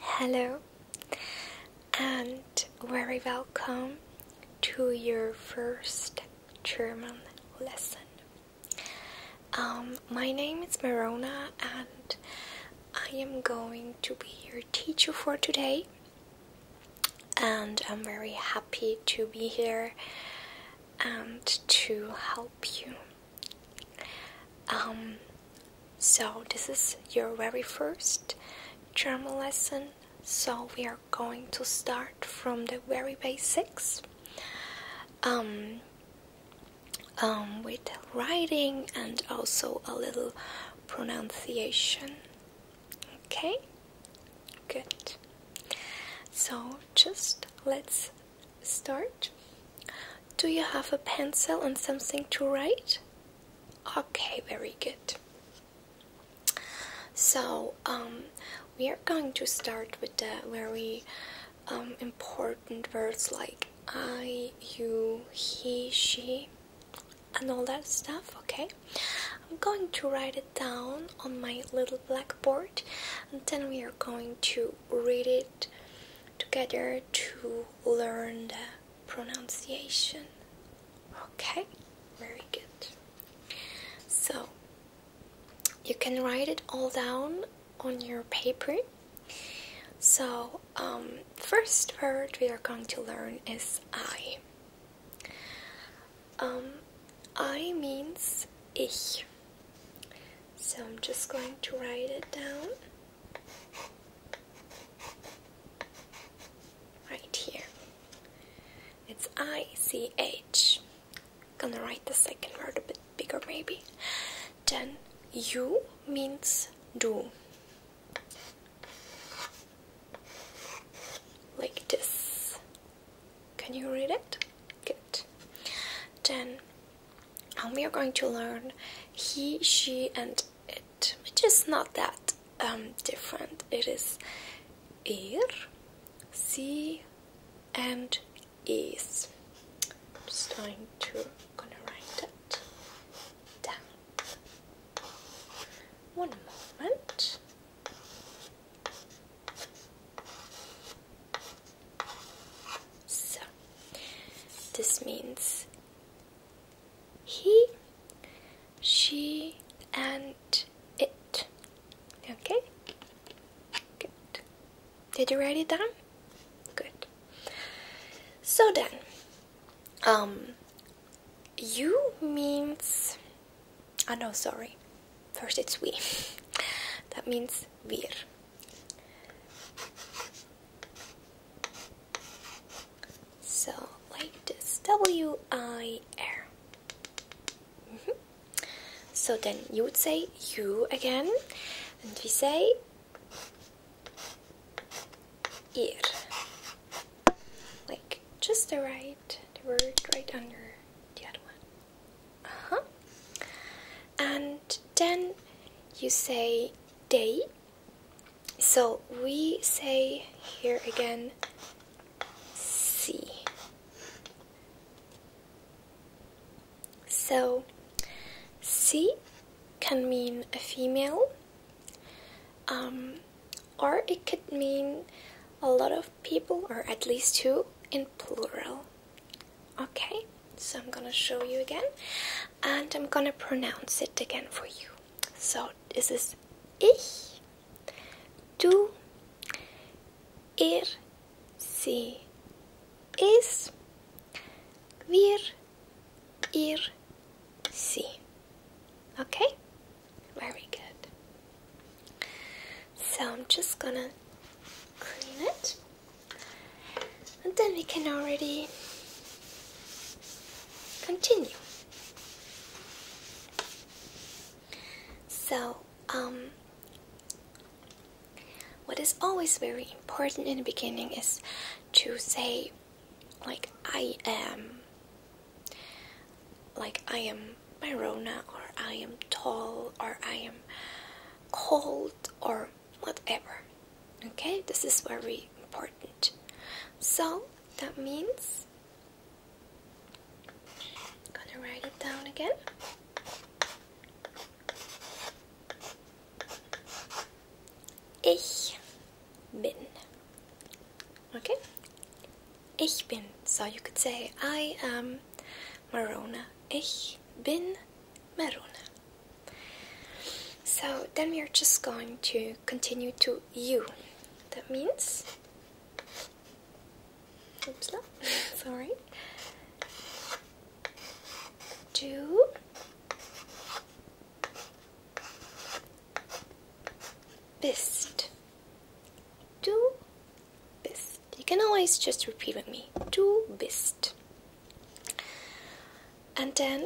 Hello, and very welcome to your first German lesson. Um, my name is Marona, and I am going to be your teacher for today. And I'm very happy to be here and to help you um, so, this is your very first German lesson. So, we are going to start from the very basics um, um, with writing and also a little pronunciation. Okay, good. So, just let's start. Do you have a pencil and something to write? Okay, very good. So, um, we are going to start with the very um, important words like I, you, he, she, and all that stuff, okay? I'm going to write it down on my little blackboard and then we are going to read it together to learn the pronunciation. Okay, very good. So you can write it all down on your paper. So, um, first word we are going to learn is I. Um, I means ich. So I'm just going to write it down. Right here. It's ICH. Gonna write the second word a bit bigger, maybe. Then you means do. Like this. Can you read it? Good. Then and we are going to learn he, she, and it, which is not that um, different. It is ir, sie, and is. I'm just going to gonna write that down. One moment. So, this means he, she, and it. Okay? Good. Did you write it down? Good. So then, um, you means. Oh no, sorry. First it's we. that means wir. So, like this W I R. Mm-hmm. So then you would say you again, and we say ear. Like just the right, the word right under the other one. Uh huh. And then you say day. So we say here again C. So C can mean a female um, or it could mean a lot of people or at least two in plural. Okay, so I'm gonna show you again and I'm gonna pronounce it again for you. So this is ich, du, er, sie, is, wir, ihr, sie. Okay? Very good. So I'm just gonna clean it and then we can already continue so um what is always very important in the beginning is to say like I am like I am Myrona or I am tall or I am cold or whatever. Okay, this is very important. So that means gonna write it down again. Ich bin. Okay? Ich bin. So you could say I am Marona. Ich bin Marona. So then we are just going to continue to U. That means, oops, no, sorry, do bist. do bist. You can always just repeat with me, do bist and then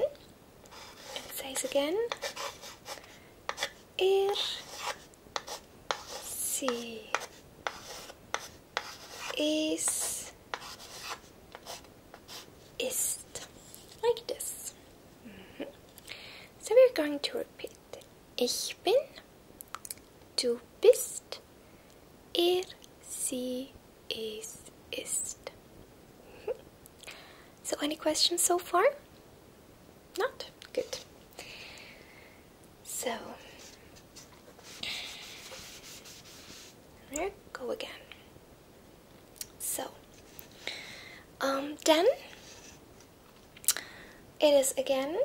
it says again ir si is ist like this mm-hmm. so we're going to repeat ich bin du bist Er sie es ist. so, any questions so far? Not? Good. So, there, go again. So, um, then it is again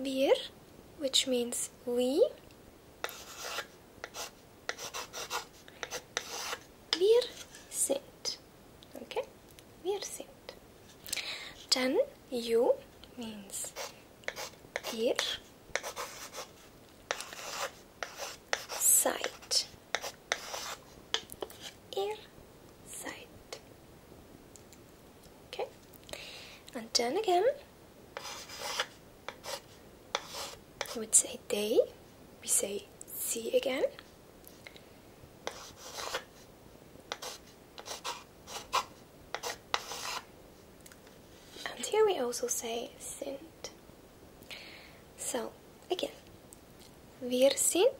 Bir, which means we. Wir sind. Okay? Wir sind. Dann you means ihr seid. Ihr seid. Okay, and then again, we say they, we say see again. And here we also say sind. So, again, wir sind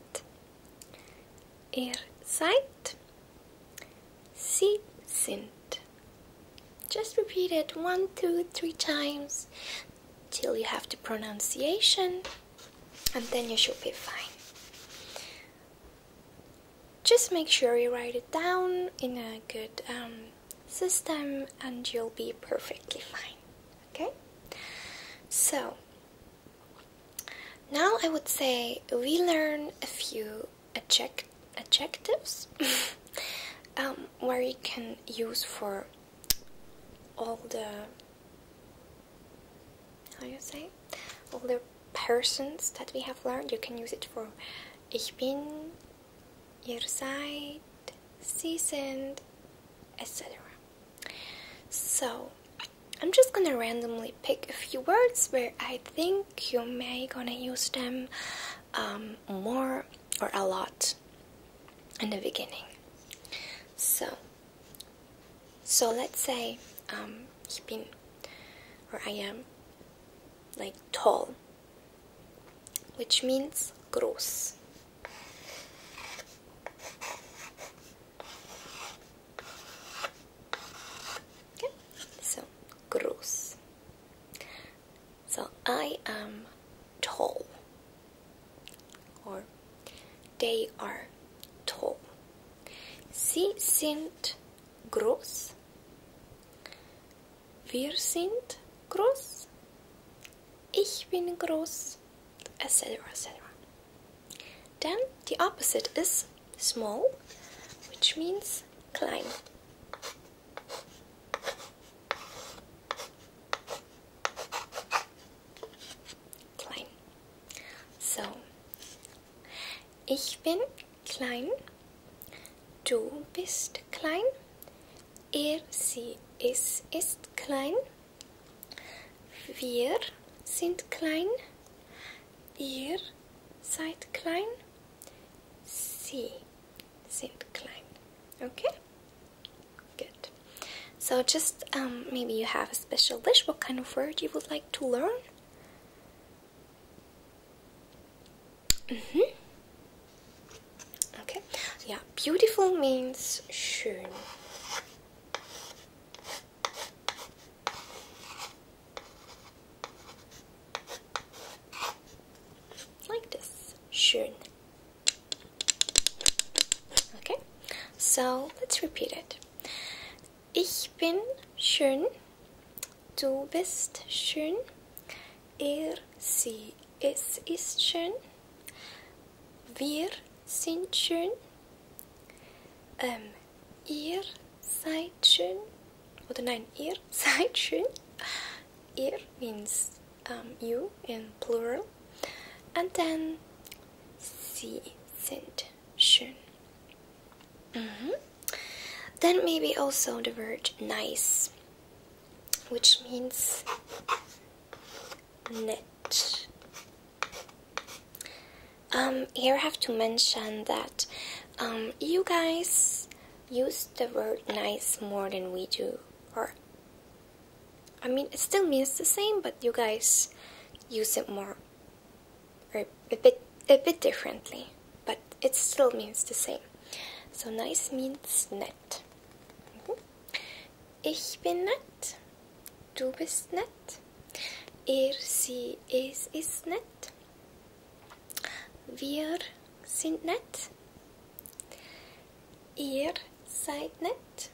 ihr er seid. Sie sind. Just repeat it one, two, three times till you have the pronunciation and then you should be fine. Just make sure you write it down in a good um, system and you'll be perfectly fine. Okay? So, now I would say we learn a few adject adjectives um, where you can use for all the how you say all the persons that we have learned you can use it for ich bin ihr seid sie etc so i'm just gonna randomly pick a few words where I think you may gonna use them um, more or a lot in the beginning. So, so let's say um, ich bin or I am like tall, which means gross so gross. So I am tall, or they are tall. Sie sind groß. Wir sind groß. Ich bin groß, etc. etc. Then the opposite is small, which means klein. Klein. So. Ich bin klein. Du bist klein. Er, sie, es ist klein. Wir sind klein. Ihr seid klein. C. Zimt Klein. Okay? Good. So just um, maybe you have a special wish, what kind of word you would like to learn? -hmm. Okay. Yeah, beautiful means schön. Like this. Schön. Okay, so let's repeat it. Ich bin schön. Du bist schön. Er, sie, es ist schön. Wir sind schön. Ähm, Ihr seid schön. Oder nein, ihr seid schön. Ihr means um, you in plural. And then sie sind schön. Then maybe also the word nice, which means knit. Um, here I have to mention that um, you guys use the word nice more than we do, or I mean, it still means the same, but you guys use it more or a bit a bit differently, but it still means the same. So nice means nett. Mhm. Ich bin nett. Du bist nett. Er, sie, es ist nett. Wir sind nett. Ihr seid nett.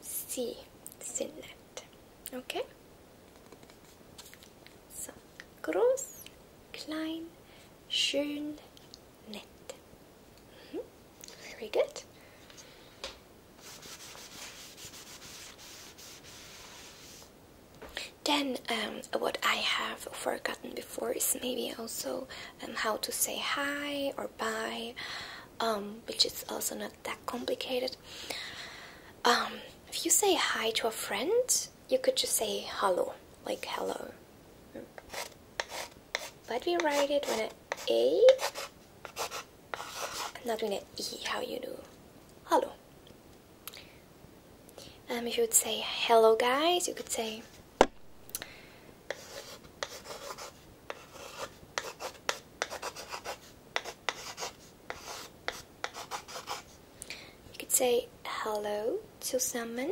Sie sind nett. Okay? So, groß, klein, schön, nett. Mhm. Very good. Then um, what I have forgotten before is maybe also um, how to say hi or bye, um, which is also not that complicated. if you say hi to a friend, you could just say hello, like hello. But we write it with an A, not with an E, how you do. Hello. Um, if you would say hello guys, you could say You could say hello zusammen.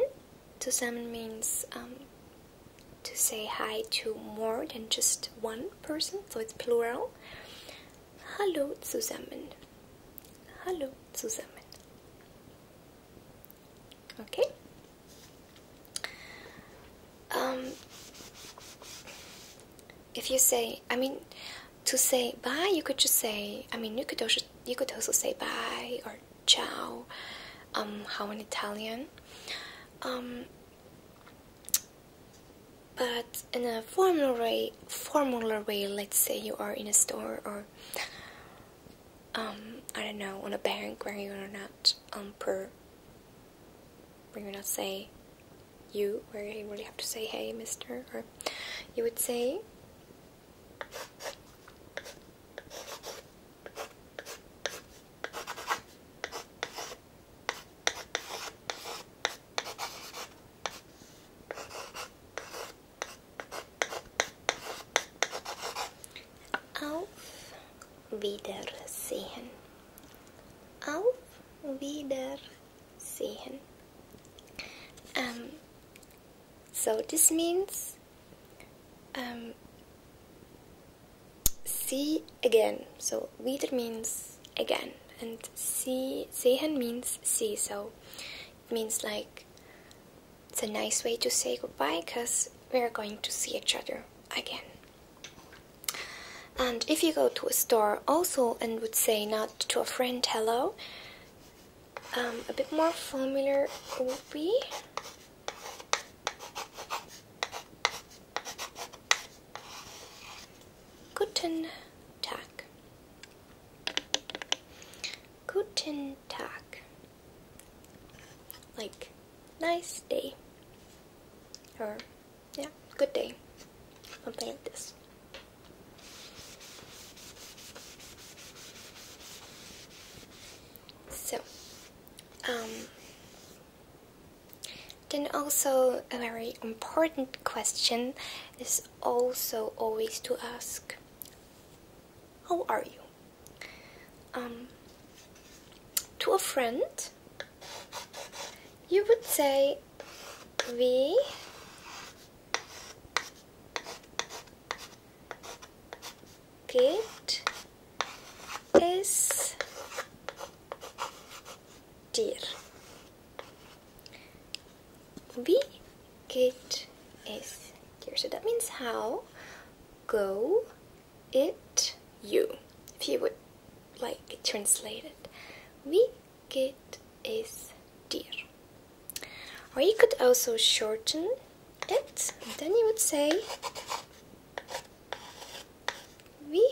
Zusammen means um, to say hi to more than just one person, so it's plural. Hello to someone. Hallo zusammen. Okay? Um, if you say, I mean, to say bye, you could just say, I mean, you could also, you could also say bye or ciao, um, how in Italian. Um, but in a formulary, way, let's say you are in a store or um, I don't know, on a bank where you are not um per, where you not say you, where you really have to say hey, mister, or you would say. Auf Wiedersehen. Auf Wiedersehen. Ähm, so this means ähm, see again. So wieder means again, and see sehen means see. So means like it's a nice way to say goodbye because we're going to see each other again. And if you go to a store also and would say not to a friend hello, um, a bit more familiar would be Guten Tag. Guten Tag. Like, nice day. Or, yeah, good day. Something like this. So, um, then also a very important question is also always to ask, How are you? Um, to a friend, you would say, We geht es dir? We get is dir? So that means how go it you. If you would like translate it. Wie geht es dir? Or you could also shorten it. Then you would say we.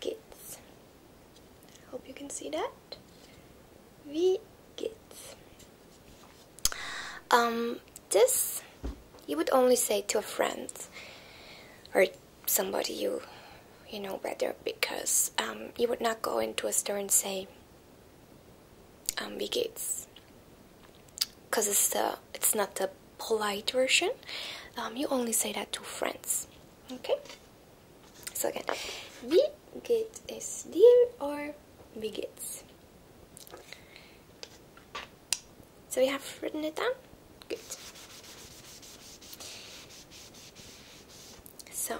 Gates. Hope you can see that. V Gates. Um, this you would only say to a friend or somebody you you know better because um, you would not go into a store and say ambigates um, because it's the it's not the polite version um, you only say that to friends okay so again wie geht es dir or wie geht's so we have written it down good so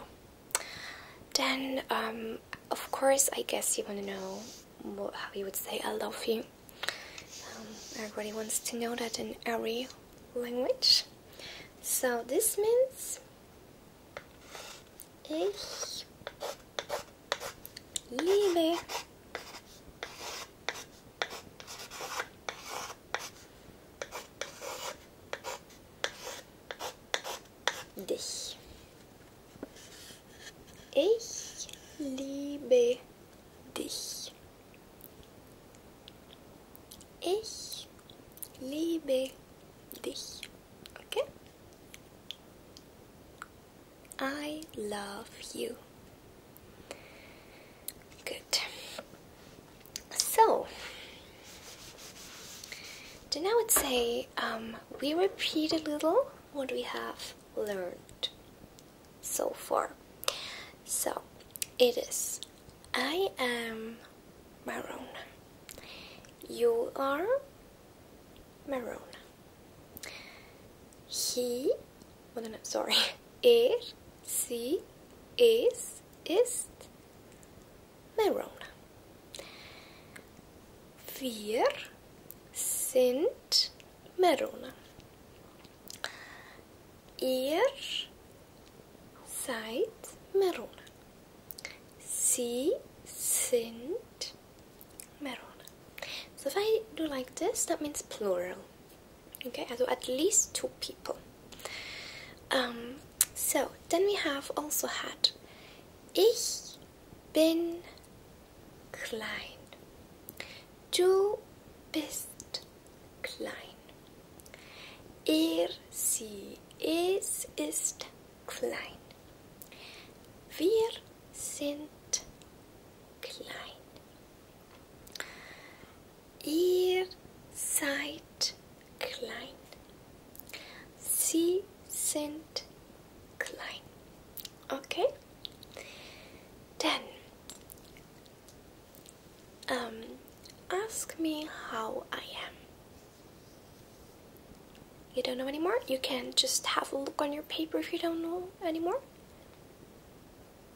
then um, of course I guess you want to know more, how you would say I love you. Um, everybody wants to know that in every language. So this means ich liebe dich. Ich liebe dich. Ich liebe dich. Okay? I love you. Good. So, so now would say um, we repeat a little what we have learned so far. So it is I am maroon. You are maroon. He, well, no, sorry, er, sie, is, is maroon. Wir sind Merone. Ihr seid Merone. Sie sind Merone. So if I do like this, that means plural. Okay, so at least two people. Um, so then we have also had Ich bin klein. Du bist klein. Er, sie, es ist klein. Wir sind klein. Ihr seid klein. Sie sind klein. Okay. Then, um, ask me how I am. You don't know anymore? You can just have a look on your paper if you don't know anymore.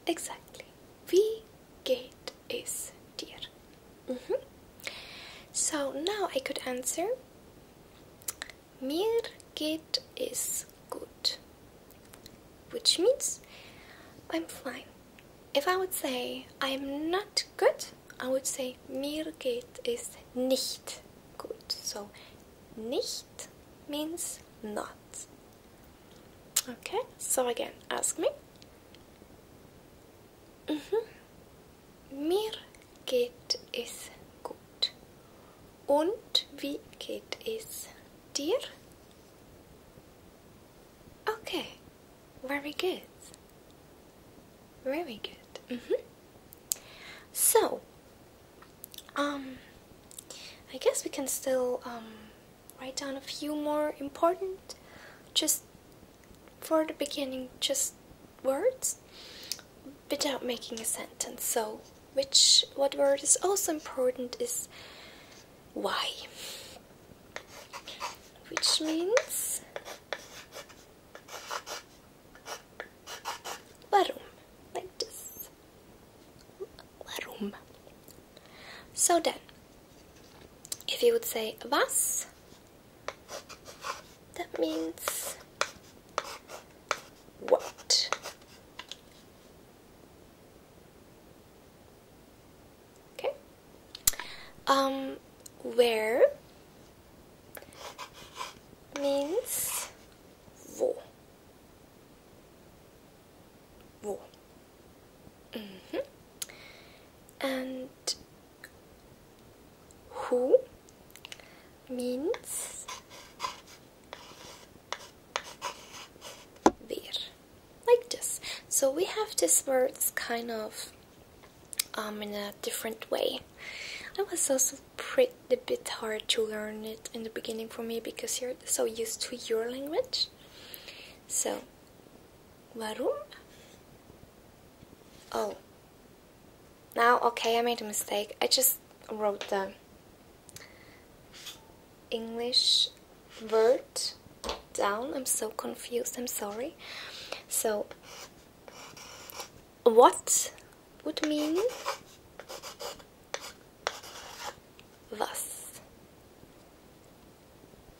Exactly. We geht is dear. Mm -hmm. So now I could answer. Mir geht is gut, which means I'm fine. If I would say I'm not good, I would say mir geht is nicht gut. So nicht means not. Okay, so again, ask me. -hmm. Mir geht es gut. Und wie geht es dir? Okay, very good. Very good. Mm-hmm. So, um, I guess we can still um, write down a few more important, just for the beginning, just words without making a sentence. So, which what word is also important is why, which means warum, like this. Warum. So then, if you would say was, that means what? Okay. Um, where means wo. Wo. -hmm. And who means where like this so we have this words kind of um, in a different way it was also pretty a bit hard to learn it in the beginning for me because you're so used to your language so warum oh now, okay, I made a mistake. I just wrote the English word down. I'm so confused. I'm sorry. So, what would mean thus?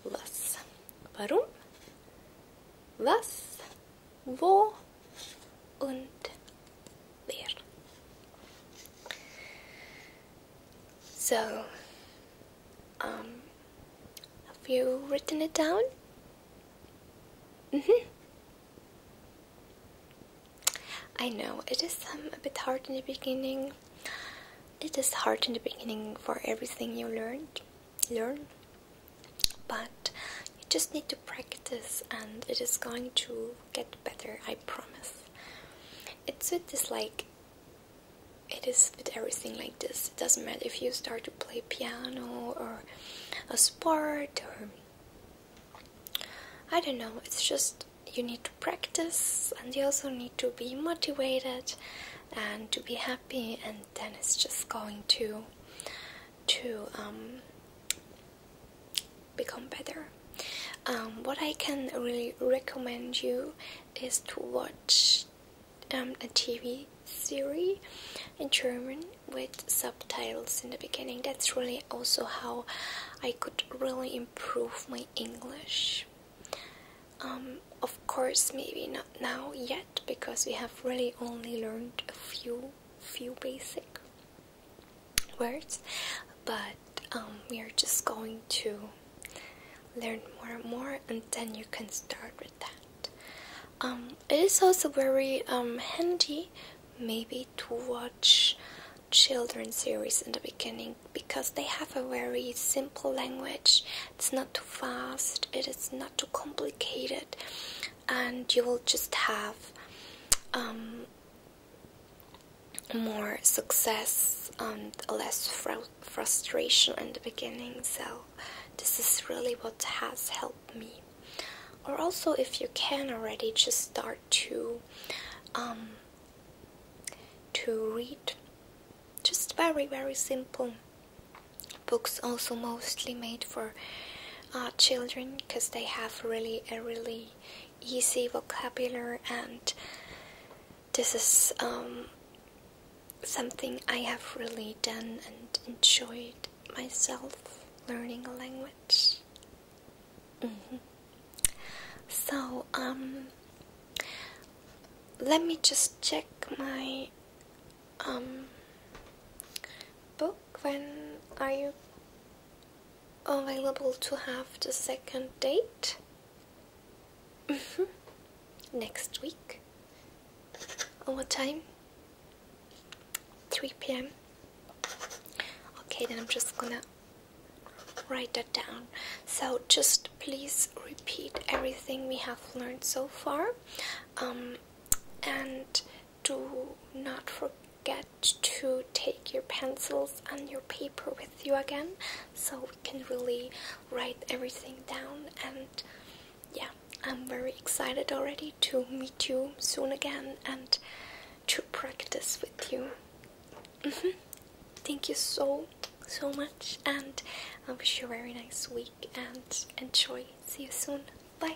Thus, Warum? Was wo und where. So, um, have you written it down? Mm hmm I know it is um, a bit hard in the beginning. It is hard in the beginning for everything you learned, learn, but you just need to practice and it is going to get better i promise it's with this like it is with everything like this it doesn't matter if you start to play piano or a sport or i don't know it's just you need to practice and you also need to be motivated and to be happy and then it's just going to to um become better. Um, what I can really recommend you is to watch um, a TV series in German with subtitles in the beginning. That's really also how I could really improve my English. Um, of course, maybe not now yet because we have really only learned a few few basic words, but um, we are just going to learn more and more, and then you can start with that. Um, it is also very um, handy, maybe, to watch children series in the beginning because they have a very simple language. It's not too fast. It is not too complicated and you will just have um, more success and less frustration in the beginning. So, this is really what has helped me. Or also, if you can already, just start to um, to read just very very simple books. Also, mostly made for uh, children because they have really a really easy vocabulary and this is um, something I have really done and enjoyed myself learning a language. Mm-hmm. So um, let me just check my um, book. When are you available to have the second date -hmm. next week. What time? 3 p.m. Okay, then I'm just gonna write that down. So just please repeat everything we have learned so far, um, and do not forget Get to take your pencils and your paper with you again so we can really write everything down and yeah i'm very excited already to meet you soon again and to practice with you mm-hmm. thank you so so much and i wish you a very nice week and enjoy see you soon bye